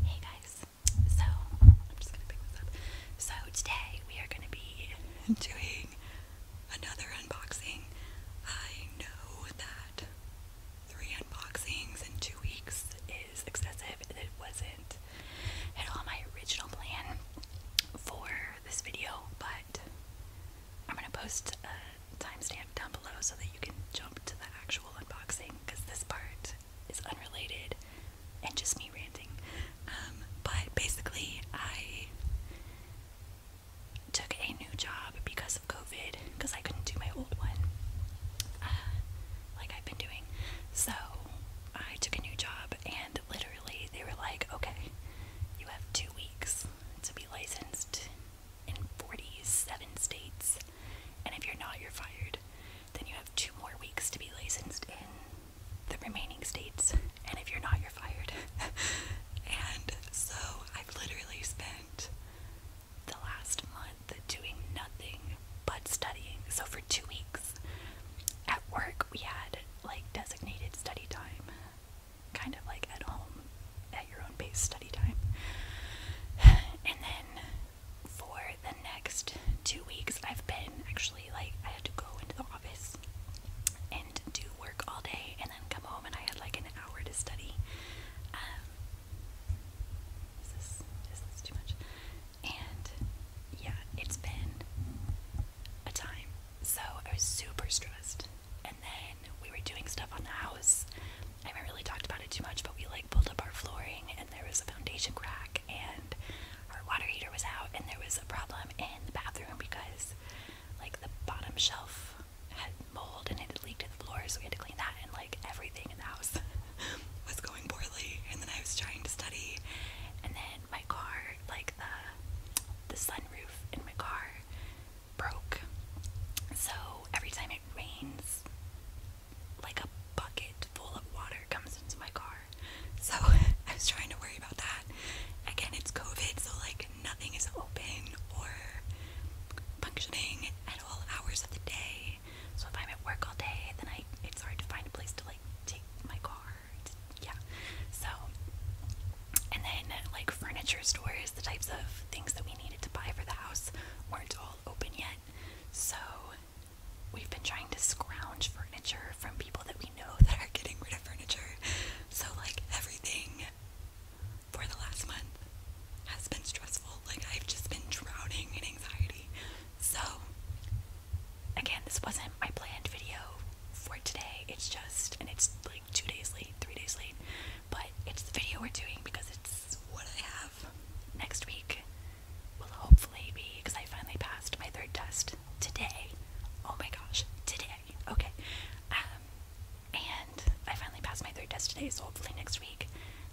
Hey guys, so I'm just gonna pick this up. So today we are gonna be doing another unboxing. I know that three unboxings in two weeks is excessive. It wasn't at all my original plan for this video, but I'm gonna post a timestamp down below so that you can jump to the actual unboxing because this part is unrelated and just me ranting. Um, but basically, I took a new job because of COVID because I couldn't do my old one uh, like I've been doing. So I took a new job, and literally, they were like, okay, you have two weeks to be licensed in 47 states. And if you're not, you're fired. Then you have two more weeks to be licensed in the remaining states. And if you're not, you're fired. and so I've literally spent the last month doing nothing but studying. So for two weeks at work, we had like designated study time, kind of like at home, at your own pace study time. And then for the next two weeks, I've been actually like, I had to go into the office and do work all day and then come home, and I had like an hour to study. Um, is this too much? And yeah, it's been a time. So I was super stressed. And then we were doing stuff on the house I haven't really talked about it too much, but we like pulled up our flooring and there was a foundation crack and our water heater was out and there was a problem in the bathroom because like the bottom shelf had mold and it leaked to the floor so we had to clean that and like everything in the house was going poorly and then I was trying to study and then my car like the the sunroof in my car broke so every time it rains like a bucket full of water comes into my car. So I was trying to worry about that. Again, it's COVID, so like nothing is open or functioning at all hours of the day. So if I'm at work all day, then I it's hard to find a place to like take my car. It's, yeah. So and then like furniture stores, the types of things that we needed to buy for the house weren't all open yet, so we've been trying to scrounge furniture from people that we know that are getting rid of furniture. So, like, everything for the last month has been stressful. Like, I've just been drowning in anxiety. So, again, this wasn't my planned video for today. It's just, and it's like two days late, three days late, but it's the video we're doing because it's what I have next week will hopefully be because I finally passed my third test today. Oh my gosh, today. Okay. Um, and I finally passed my third test today, so hopefully next week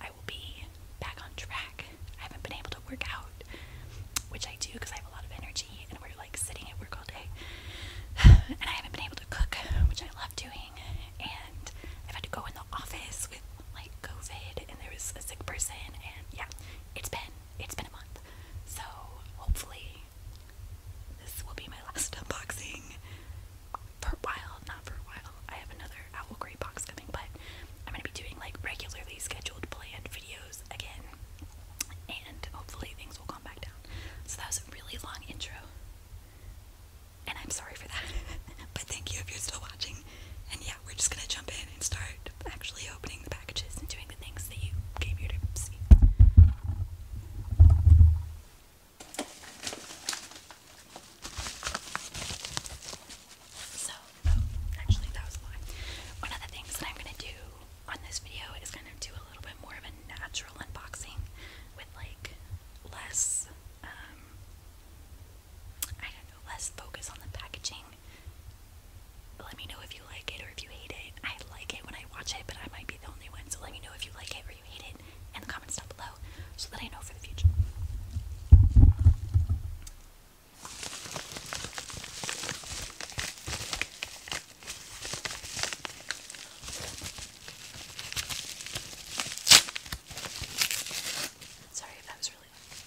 I will be back on track. I haven't been able to work out, which I do because I have a lot of energy and we're like sitting at work all day. and I haven't been able to cook, which I love doing and i had to go in the office with like COVID and there was a sick person and yeah, it's been it's been a month. So hopefully this will be my last unboxing for a while, not for a while. I have another owl gray box coming, but I'm gonna be doing like regularly scheduled planned videos again and hopefully things will calm back down. So that was a really long intro and I'm sorry for that. but thank you if you're still watching. And yeah, we're just gonna jump in and start actually opening the packages and doing the things that you came here to see. So, actually, that was a lie. One of the things that I'm gonna do on this video is kind of do a little bit more of a natural unboxing with like less um, I don't know, less focus on the packaging. Let me know if you like it or if you hate it. I like it when I watch it, but I might be the only one, so let me know if you like it or you hate it in the comments down below so that I know for the future. Sorry if that was really loud.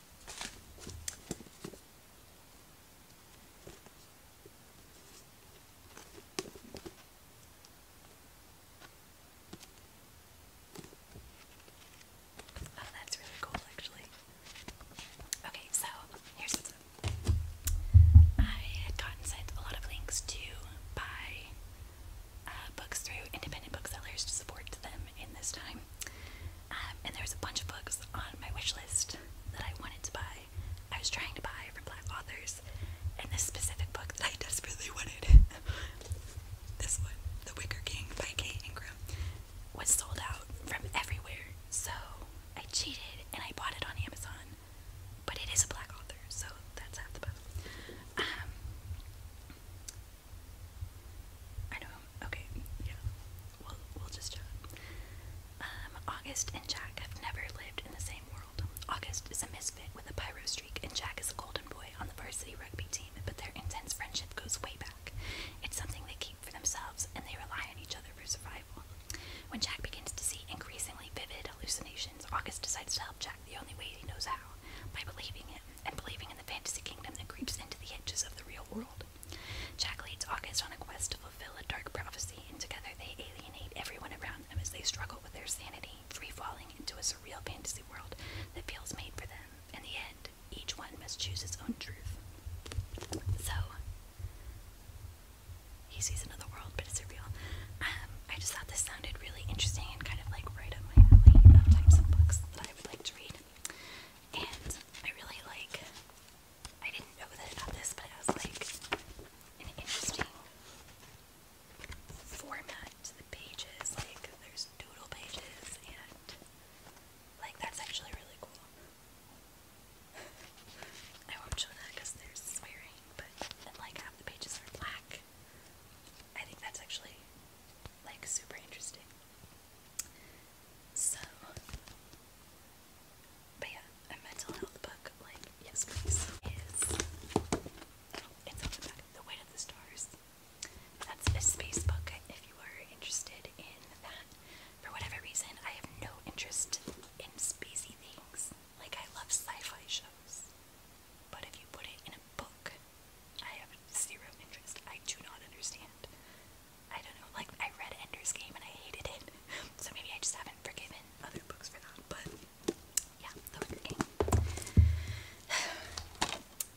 Oh, that's really cool, actually. Okay, so here's I had gotten sent a lot of links to buy uh, books through independent booksellers to support them in this time. Um, and there was a bunch of books on my wish list that I wanted to buy. I was trying to buy from black authors, and this specific book that I desperately wanted, this one, The Wicker King by Kate Ingram, was sold out from everywhere. So I cheated and I bought it on Amazon, but it is a black author, so that's half the book. Um, I know Okay, yeah. we we'll just um, August and Jack have never lived in the same world. August is a misfit with a pyro streak, and Jack is a golden boy on the varsity rugby team. But their intense friendship goes way back. It's something they keep for themselves, and they rely on each other for survival. When Jack begins to see increasingly vivid hallucinations, August decides to help Jack the only way he knows how by believing him and believing in the fantasy kingdom that creeps into the edges of the real world. Jack leads August on a quest to fulfill a dark prophecy, and together they alienate everyone around them as they struggle with their sanity, free falling into a surreal fantasy world that feels made for them. In the end, each one must choose its own truth. So, he sees another world, but it's surreal. Um, I just thought this sounded really interesting and kind of like right up my alley types of books I would like to read. And I really like, I didn't know that about this, but it was like an interesting format the pages. Like, there's doodle pages, and like, that's actually really cool. I won't show that because there's swearing, but like the pages are black. I think that's actually like super interesting. So, but yeah, a mental health book, like yes please, is oh, The Weight of the Stars. That's a space book if you are interested in that. For whatever reason, I have no interest in spacey things. Like I love sci-fi shows. But if you put it in a book, I have zero interest. I do not understand. I don't know. Like, I read Ender's Game and I hated it. So maybe I just haven't forgiven other books for that. But yeah, The Wicker King.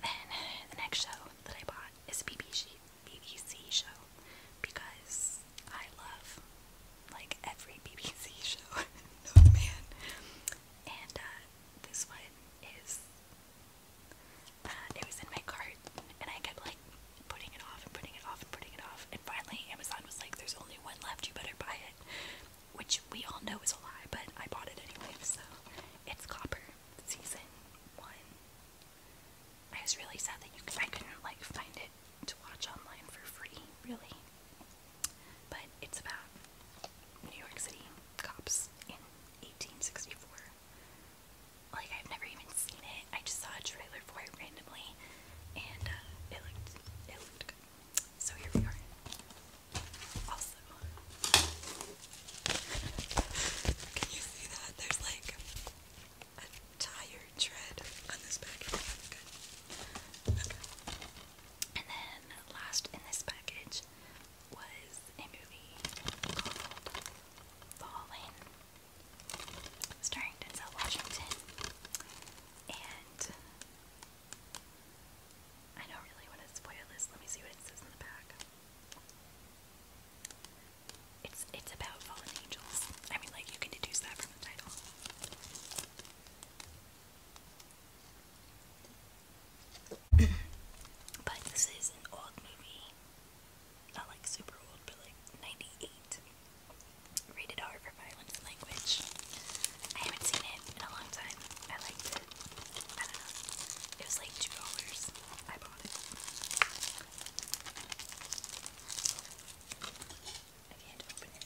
then the next show that I bought is a BBC, BBC show because I love like every BBC show man. And uh, this one is and uh, it was in my cart, and I kept like putting it off and putting it off and putting it off, and finally Amazon was like, "There's only one left. You better buy it," which we all know is a lie, but I bought it anyway. So it's Copper season one. I was really sad that you couldn't like find it to watch online for free, really. But it's about New York City cops in 1864. Like, I've never even seen it. I just saw a trailer for it randomly, and uh, it looked it looked good. So here we are. Also, can you see that? There's like a tired tread on this package. And then last in this package was a movie called Fallen, starring Denzel Washington, and I don't really want to spoil this. Let me see what it says in the back. It's it's about fallen angels. I mean, like you can deduce that from the title. but this is an old movie. Not like super old, but like 98. Rated R for violence language. I haven't seen it in a long time. I liked it. I don't know. It was like $2. I bought it. I can't open it.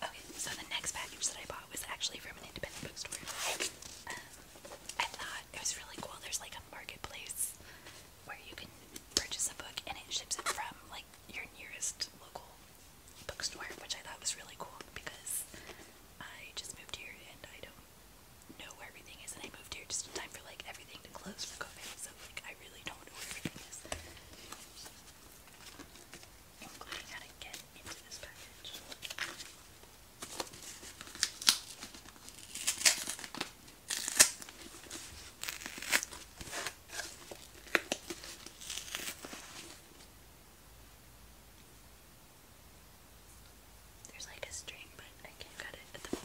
Okay, so the next package that I bought was actually from an independent bookstore. Um, I thought it was really cool. There's like a marketplace where you can purchase a book and it ships it from like your nearest local bookstore, which I thought was really cool because I just moved here and I don't know where everything is, and I moved here just in time for like everything to close for COVID, so like I really don't know where everything is. Including how to get into this package. There's like a string, but I can't cut it at the moment.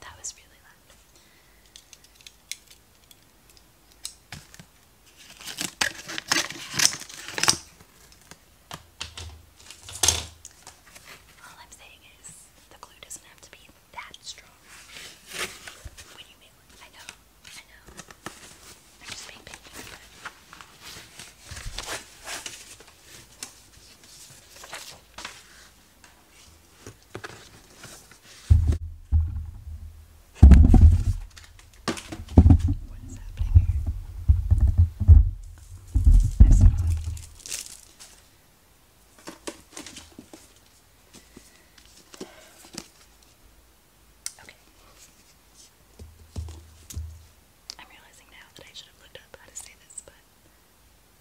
That was really loud. All I'm saying is the glue doesn't have to be that strong when you mail it. I know, I know. I'm just being picky. What is happening here? Oh, there's something in here. Okay. I'm realizing now that I should have looked up how to say this, but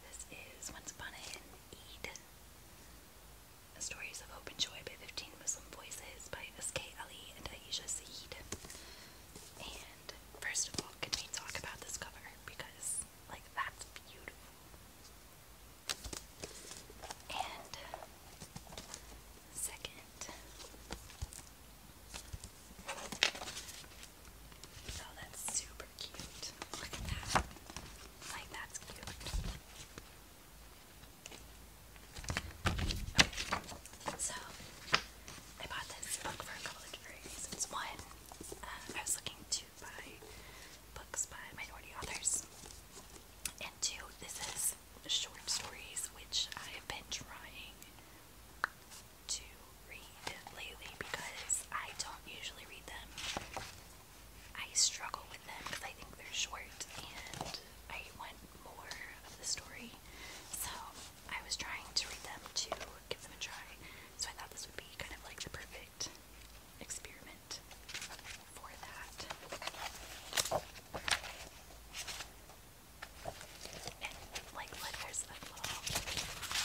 this is Once Upon an Eid. The Stories of Hope and Joy by 15 Muslim Voices by S.K. Ali and Aisha Saeed. And first of all, can we talk about this cover? Because, like, that's beautiful. And second, Oh, that's super cute. Look at that. Like, that's cute. So, I bought this book for a couple of different reasons. One, uh, I was looking to buy books by minority authors. And two, this is short stories, which I have been trying to read lately because I don't usually read them. I struggle with them because I think they're short and I want more of the story. So I was trying to read them to give them a try. So I thought this would be kind of like the perfect experiment for that. And like letters of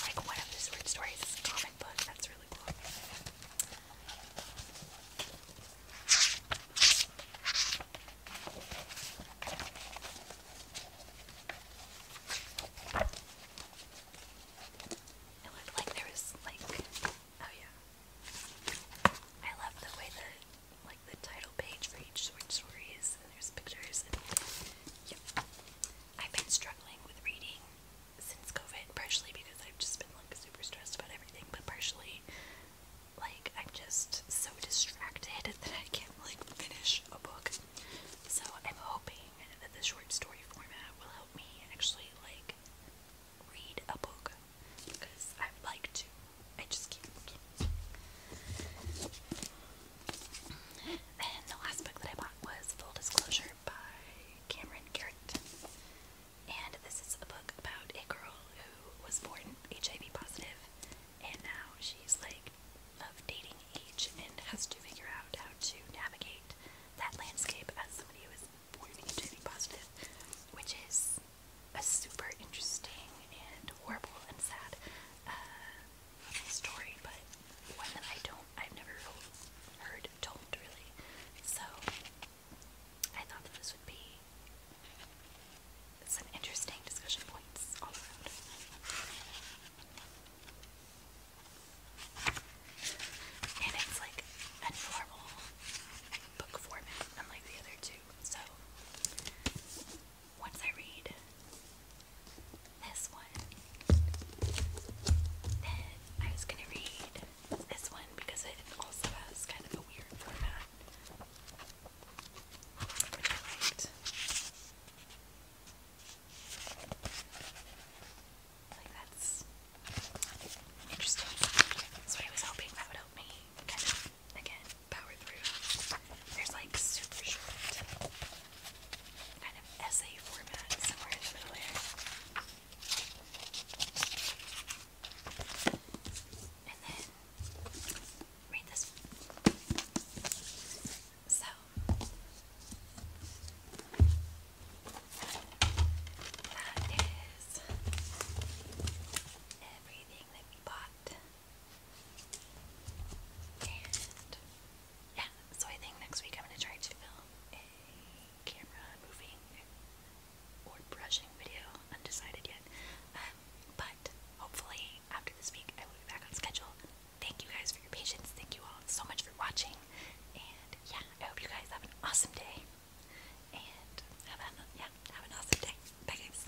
like one of the short stories is a comic book, that's really cool. It looked like there was like oh yeah. I love the way the like the title page for each short story, and there's pictures. And yep, I've been struggling with reading since COVID, partially because I've just been like super stressed about everything, but partially like I'm just so distracted that I can't like finish a book. So I'm hoping that the short story format will help me actually like read a book because I would like to. I just can't. Then the last book that I bought was Full Disclosure by Cameron Garrett. And this is a book about a girl who was born HIV positive and now she's like of dating age and has to figure out how to navigate that landscape as somebody who is born HIV positive, which is a super interesting and horrible and sad uh, story, but one that I don't, I've never heard told really. So I thought that this would be some interesting discussion points all around. And it's like a normal book format, unlike the other two. So once I read this one, then I was gonna read this one because it also has kind of a weird format, which Like that's interesting. So I was hoping that would help me again power through. There's like super short, kind of essay format somewhere in the middle And then read this So. That is everything that we bought yeah, so I think next week I'm going to try to film a camera moving or brushing video. Undecided yet. Um, but hopefully after this week I will be back on schedule. Thank you guys for your patience. Thank you all so much for watching. And yeah, I hope you guys have an awesome day. And yeah, have an awesome day. Bye guys.